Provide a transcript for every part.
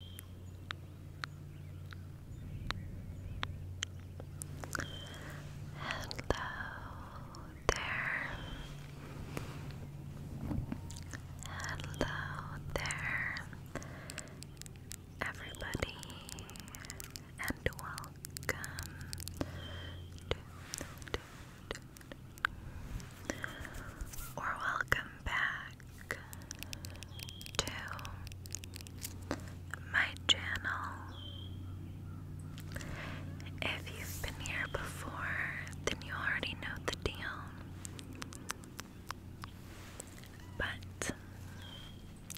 Hello there. Hello there, everybody, and welcome or welcome back to my channel. If you've been here before, then you already know the deal. But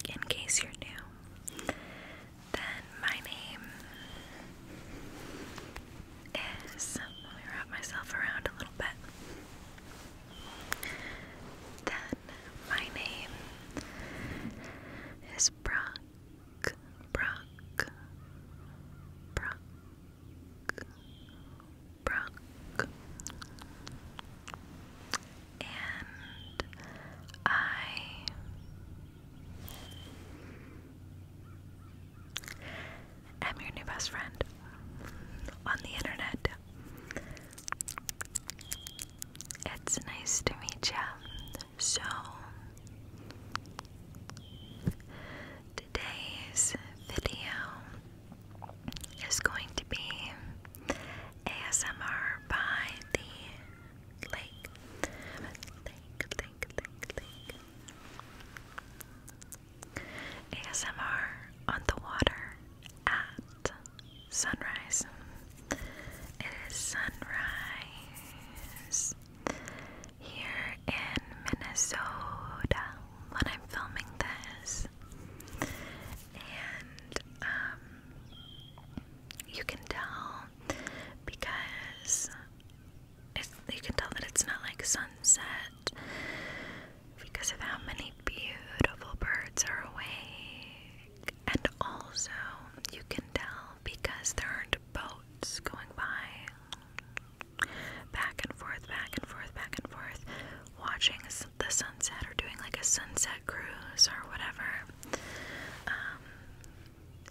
in case you're new, then my name is. wrap myself around a little bit. Then my name is Brock, Brock, Brock, Brock, and I i am your new best friend on the internet. It's nice to meet you. So, today's video is going to be ASMR by the lake. ASMR on the water at sunrise. It is sunrise here in Minnesota when I'm filming this. And um, you can tell because you can tell that it's not like sunset because of how many beautiful birds are awake. And also, you can tell because there aren't boats going by. Back and forth, back and forth, back and forth, watching the sunset or doing like a sunset cruise or whatever. Um,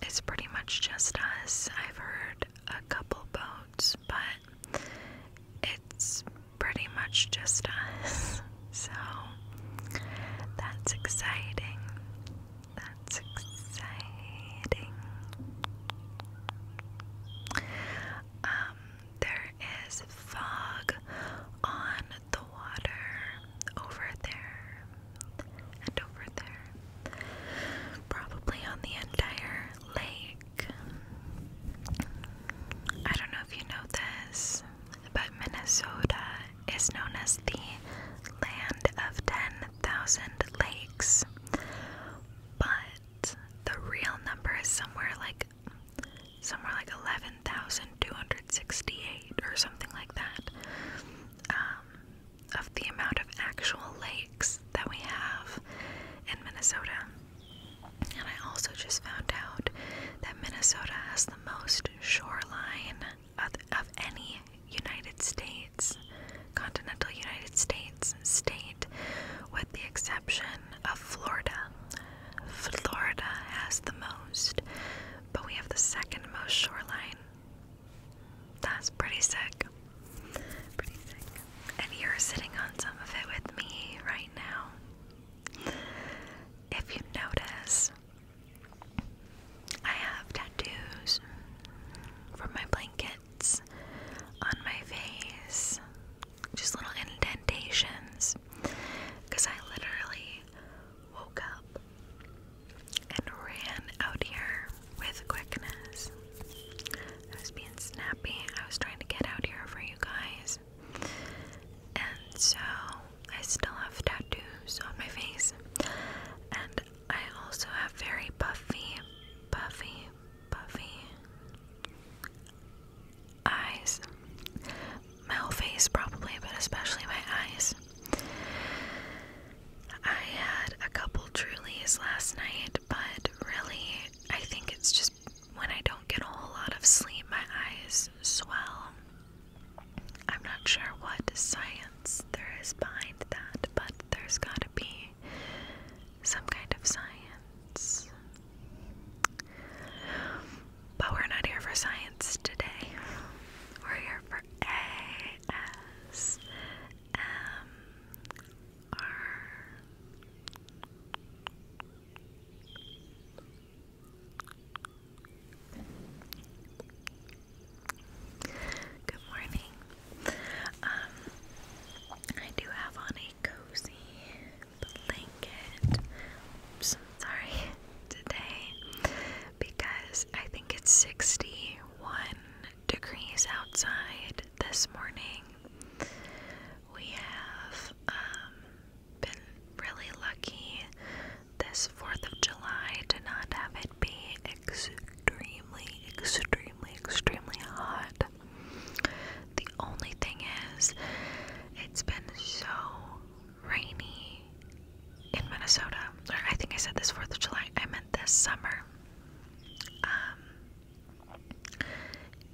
it's pretty much just us. I've heard a couple boats, but it's pretty much just us. So that's exciting. That's exciting. Um, there is fog on the water over there and over there. Probably on the entire lake. I don't know if you know this, but Minnesota is known as the land of 10,000 lakes. But the real number is somewhere like somewhere like 11,268 or something like that. Um, of the amount of actual lakes that we have in Minnesota. And I also just found out that Minnesota has the most shoreline of, of any United States, continental United States state, with the exception of Florida. Florida has the most, but we have the second most shoreline. That's pretty sick. Pretty sick and you're sitting on some of it with me right now. If you notice, I have tattoos from my blankets on my face, just little indentations, because I literally woke up and ran out here with quickness. I was being snappy. I was trying to get out here for you guys. And so I still have tattoos on my face. And I also have very puffy, puffy, puffy eyes. My face, probably, but especially my eyes. I had a couple Trulies last night, but really, I think it's just when I don't get a whole lot of sleep, my eyes swell. I'm not sure what science there is behind that, but there's gotta be some kind of science. But we're not here for science today. We're here for ASMR. Good morning. Um, I do have on a cozy blanket. sorry, today because I think it's 61 degrees outside this morning. We have um, been really lucky this 4th of July to not have it be extremely, extremely, extremely hot. The only thing is, it's been so rainy in Minnesota. I think I said this 4th of July, I meant this summer. Um,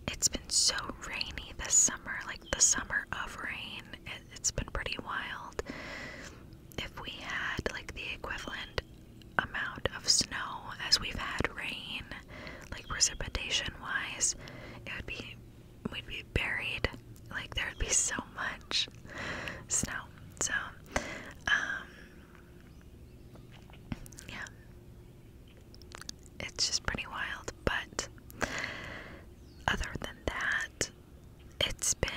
it's been so rainy this summer, like the summer of rain. It, has been pretty wild. If we had like the equivalent amount of snow as we've had rain, like precipitation wise, it would be we'd be buried. Like there would be so much snow. So um, yeah it's just pretty wild. But other than that, it's been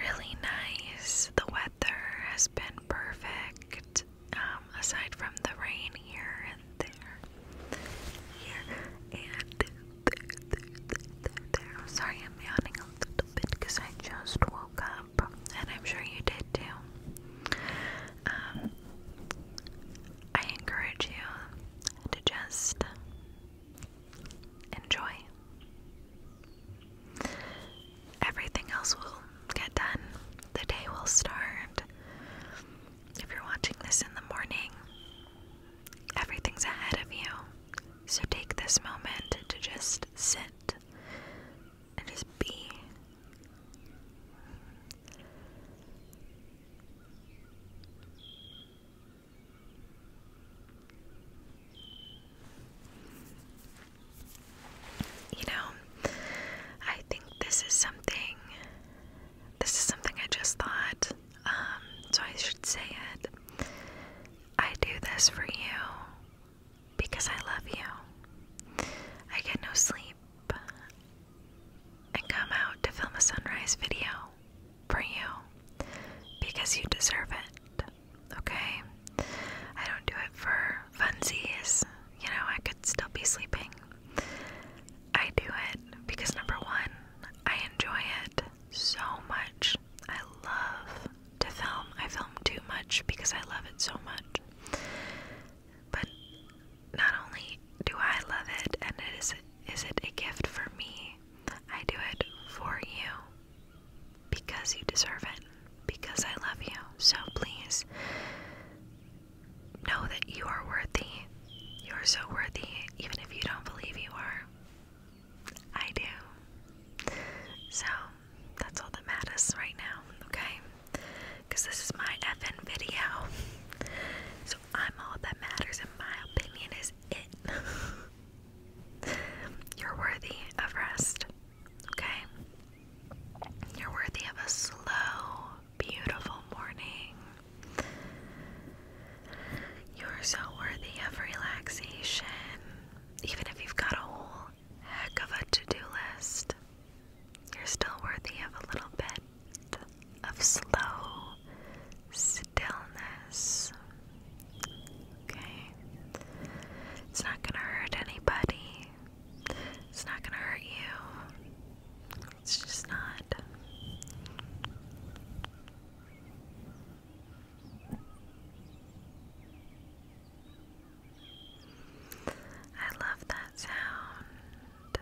really nice. The weather has been perfect, um, aside from the rain here and there. Here and there, there, there, there, there. I'm sorry, I'm yawning a little bit because I just woke up, and I'm sure you did too. Um, I encourage you to just enjoy. Everything else will get done. The day will start. If you're watching this in the morning, everything's ahead of you. So take this moment to just sit and his being. You know, I think this is something this is something I just thought, um, so I should say it. I do this for you because I love you. I get no sleep and come out to film a sunrise video for you because you deserve it. Okay? I don't do it for funsies. You know, I could still be sleeping. I do it because number one, I enjoy it so much. I love to film. I film too much because I love it so much. But not only do I love it and it is is it a gift for me, I do it for you because you deserve it, because I love you. So please know that you are worthy. You are so worthy, even if you don't believe you are. I do. So that's all that matters right now, okay? because this is my FN video. So I'm all that matters, and my opinion is it. You're worthy of rest, okay? You're worthy of a slow, beautiful morning. You're so worthy of relaxation, even if you've got a whole heck of a to do list. You're still worthy of a little bit of slow stillness. Okay? It's not gonna hurt anybody, it's not gonna hurt you. It's just not. I love that sound.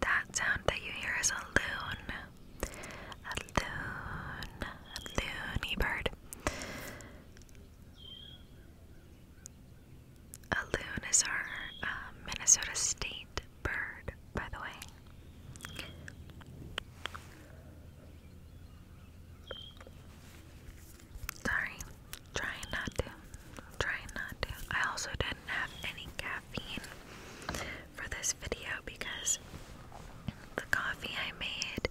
That sound that you hear is a loon. A loon. A loony bird. A loon is our uh, Minnesota state bird, by the way. Sorry. Trying not to. Trying not to. I also didn't have any caffeine for this video because the coffee I made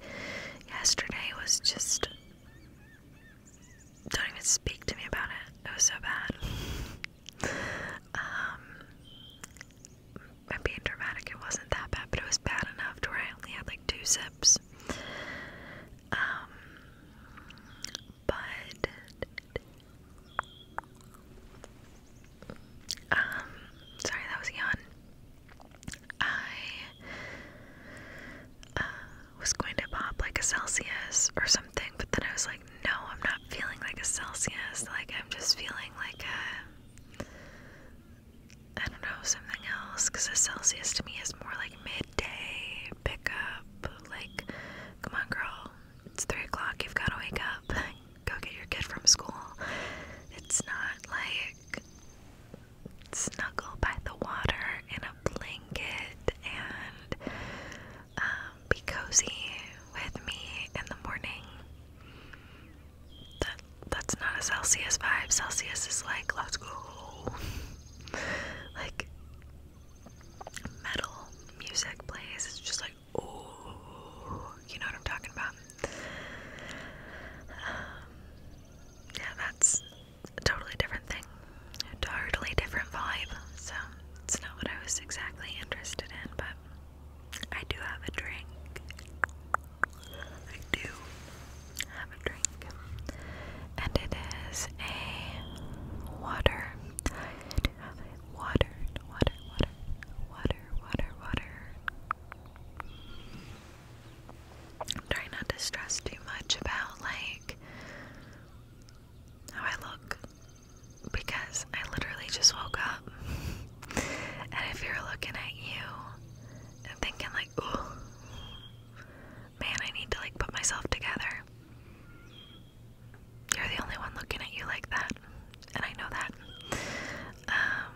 yesterday was just. Don't even speak to me about it. It was so bad. Um. I'm being dramatic, it wasn't that bad, but it was bad enough where I only had like two sips. Um, but um, sorry, that was yawn. I uh, was going to pop like a Celsius or something, but then I was like, no, I'm not feeling like a Celsius. Like I'm just feeling like a I don't know, something else. Because a Celsius to me is more like midday pickup. Like, come on, girl. It's 3 o'clock. You've got to wake up. Go get your kid from school. It's not like snuggle by the water in a blanket and um, be cozy with me in the morning that's not a Celsius vibe. Celsius is like, let's go. like, metal music plays. It's just like, oh, you know what I'm talking about. Um, yeah, that's a totally different thing. totally different vibe. So, it's not what I was exactly interested in, but I do have a drink. I do have a drink, and it is a water. water, water, water, water, water, water. I'm trying not to stress too much about like how I look because I literally just woke up. And if you're looking at you and thinking like, ooh, Man, I need to like put myself together. You're the only one looking at you like that, and I know that. Um,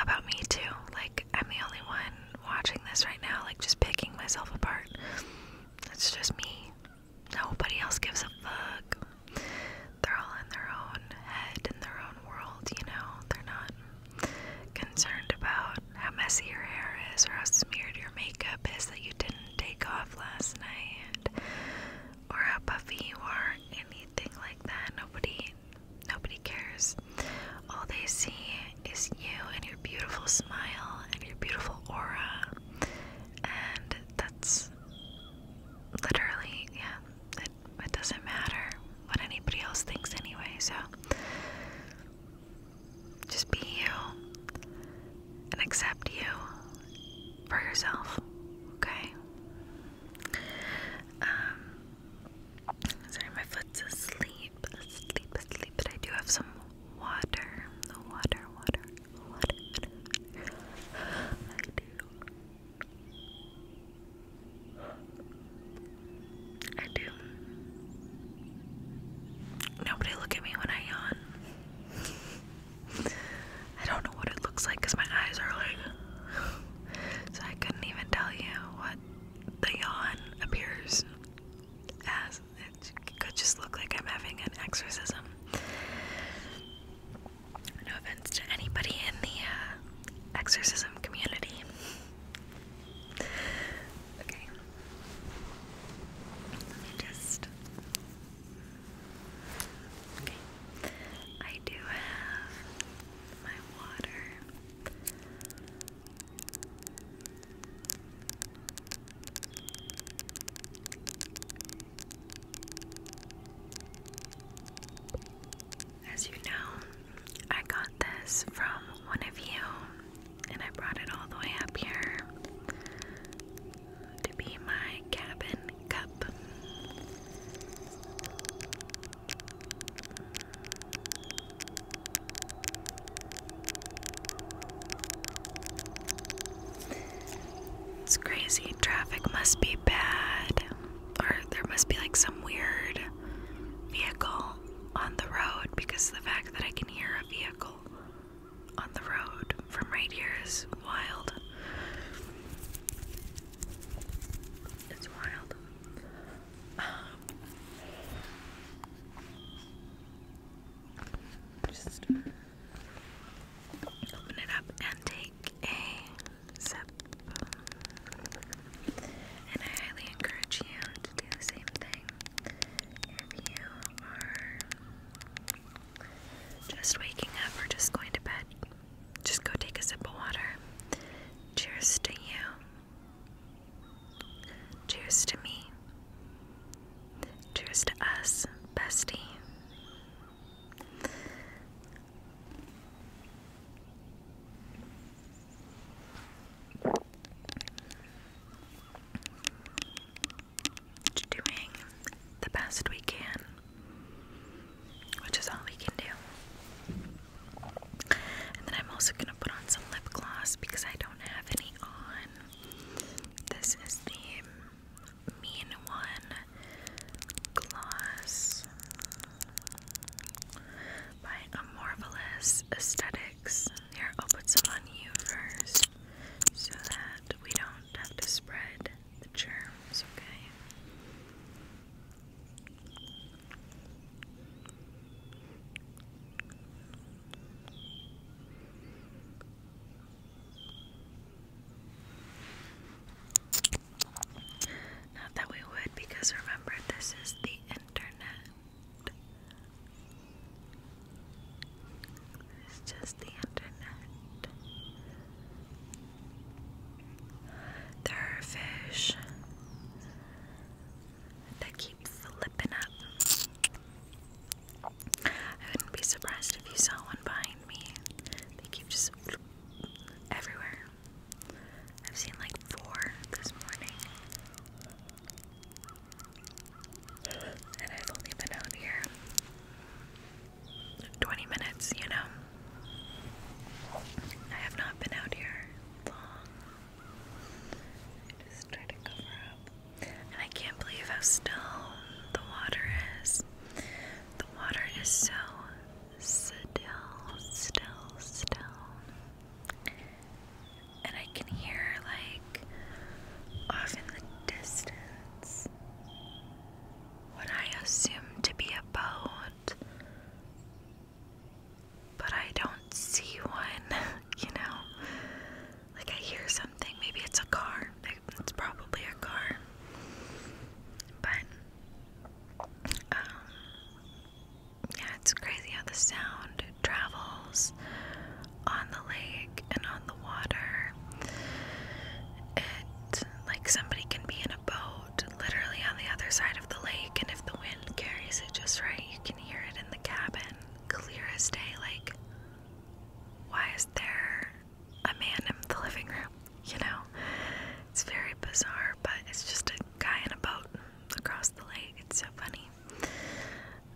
about me too. Like, I'm the only one watching this right now, like, just picking myself apart. It's just me. Nobody else gives a fuck. They're all in their own head, in their own world, you know? They're not concerned about how messy your hair is or how smeared your makeup is that you didn't take off last night or how puffy you are, anything like that. Nobody nobody cares. All they see is you and your beautiful smile and your beautiful aura. And that's literally yeah, it, doesn't matter what anybody else thinks anyway, so just be you and accept you for yourself, okay? Um, sorry, my foot's asleep, asleep, asleep, but I do have some water, water, water, water. water. I do. I do. Nobody look at me when I yawn. I don't know what it looks like my eyes are like. so I couldn't even tell you what the yawn appears as. It could just look like I'm having an exorcism. No offense to anybody in the uh, exorcism community. Okay. Let me just. Okay. I do have my water. As you know, I got this from one of you, and I brought it all the way up here to be my cabin cup. It's crazy. Traffic must be bad, or there must be like some weird vehicle on the road because the fact that I can hear a vehicle on the road from right here is wild. It's wild. Um, just open it up and take a sip and I highly encourage you to do the same thing if you are just waking up or just going to bed. Just go take a sip of water. Cheers to you. Cheers to me. Cheers to us, bestie. Doing the best we can, which is all we can do. And then I'm also gonna put on some lip gloss because I don't have any on. This is the Mean One gloss by a aesthetics. Here, I'll put some on you first so that we don't have to spread the germs, okay? Not that we would, because remember, this is the it's just the internet. There are fish that keep flipping up. I wouldn't be surprised if you saw one behind me. They keep just everywhere. I've seen like four this morning. And I've only been out here 20 minutes, you know. I have not been out here long. I just try to cover up. I can't believe how still the water is. The water is so still, still, still. And I can hear, like, off in the distance, what I assume to be a boat. But I don't see one, you know? Like, I hear something. Maybe it's a car. It's probably a car. But, um, yeah, it's crazy how the sound travels on the lake and on the water. It like somebody can be in a boat literally on the other side of the lake, and if the wind carries it just right, you can hear it in the cabin clear as day. Like, why is there a man in the living room? You know, it's very bizarre, but it's just a guy in a boat across the lake. It's so funny.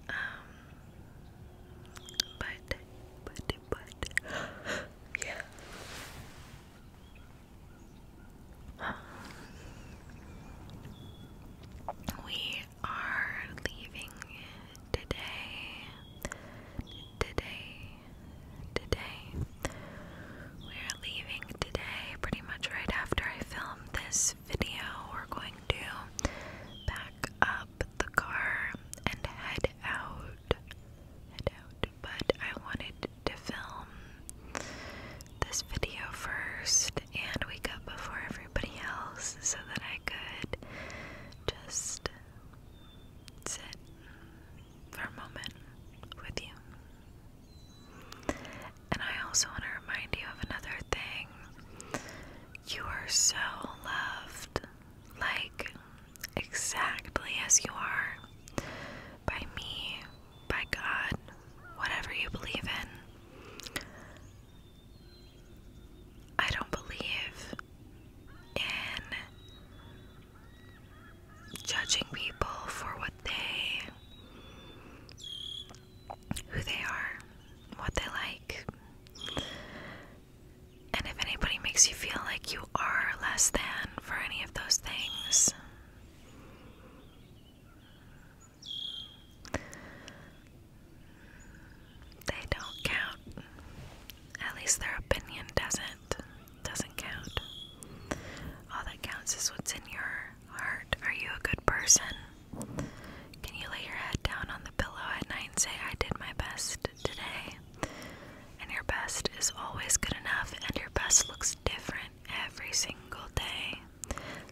Um, but, but, but, yeah. Um, we are leaving today. Today, today, we're leaving today, pretty much right after I film this video. We're going to back up the car and head out. Head out. But I wanted to film this video first and wake up before everybody else so that I could just sit for a moment with you. And I also want to remind you of another thing. You are so loved, like exactly as you are, by me, by God, whatever you believe in. I don't believe in judging people for what they who they are, what they like. And if anybody makes you feel like you are less than for any of those things, they don't count. At least their opinion doesn't doesn't count. All that counts is what's in your heart. Are you a good person? Can you lay your head down on the pillow at night and say, I did my best today? And your best is always good enough, and your best looks different every single day.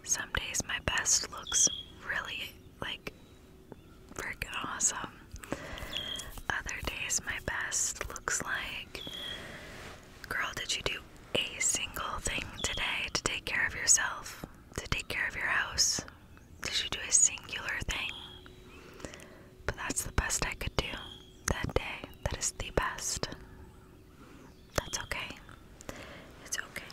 Some days my best looks really like freaking awesome. Other days my best looks like, girl, did you do a single thing today to take care of yourself, to take care of your house? Did you do a singular thing? But that's the best I could do that day. That is the best. That's okay. It's okay.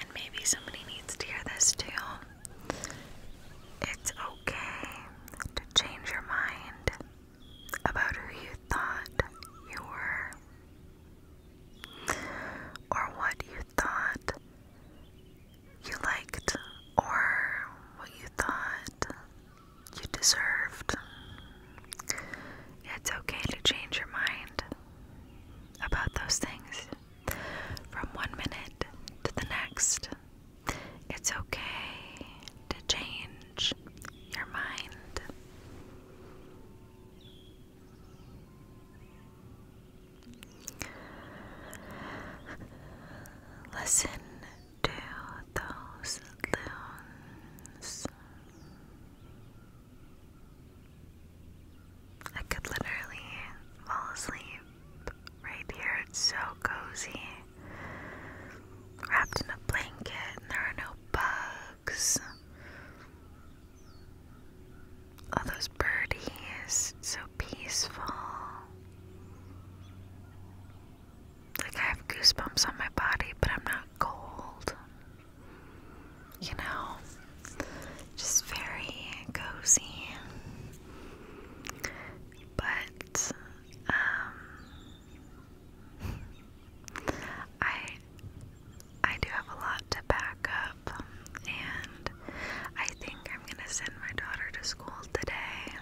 And maybe somebody needs to hear this too. It's okay to change your mind about who you thought you were, or what you thought you liked, or what you thought you deserved. It's okay to change your mind about those things from one minute to the next. It's okay to change your mind. Listen to those loons. I could literally fall asleep right here. It's so cozy. Wrapped in a blanket, and there are no bugs. All those birdies, so peaceful. Like I have goosebumps on my body, but I'm not cold. You know, just very cozy. But um, I I do have a lot to back up, and I think I'm gonna send my daughter to school today.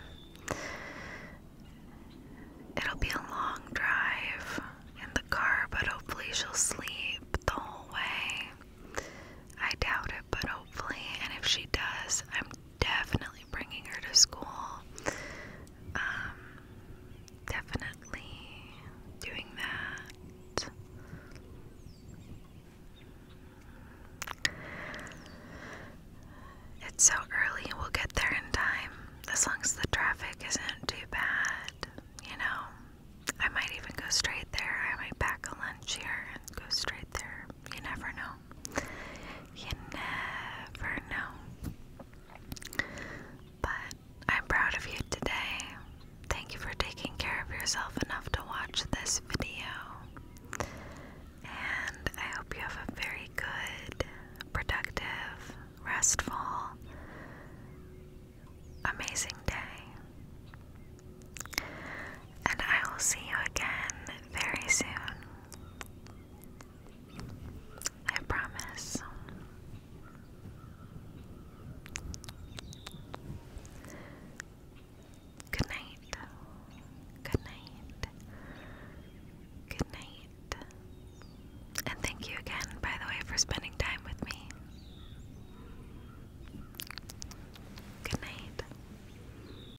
It'll be a long drive in the car, but hopefully she'll sleep the whole way. I doubt it, but hopefully, and if she does, I'm definitely bringing her to school. Um, definitely doing that. It's so early, we'll get there in time. As long as the traffic isn't too bad, you know. I might even go straight there. I might pack a lunch here and go straight there. You never know. You never know. But I'm proud of you today. Thank you for taking care of yourself enough to watch this video. And I hope you have a very good, productive, restful, amazing day. And I will see you again very soon. I promise. Good night. Good night. Good night. And thank you again, by the way, for spending time with me. Good night.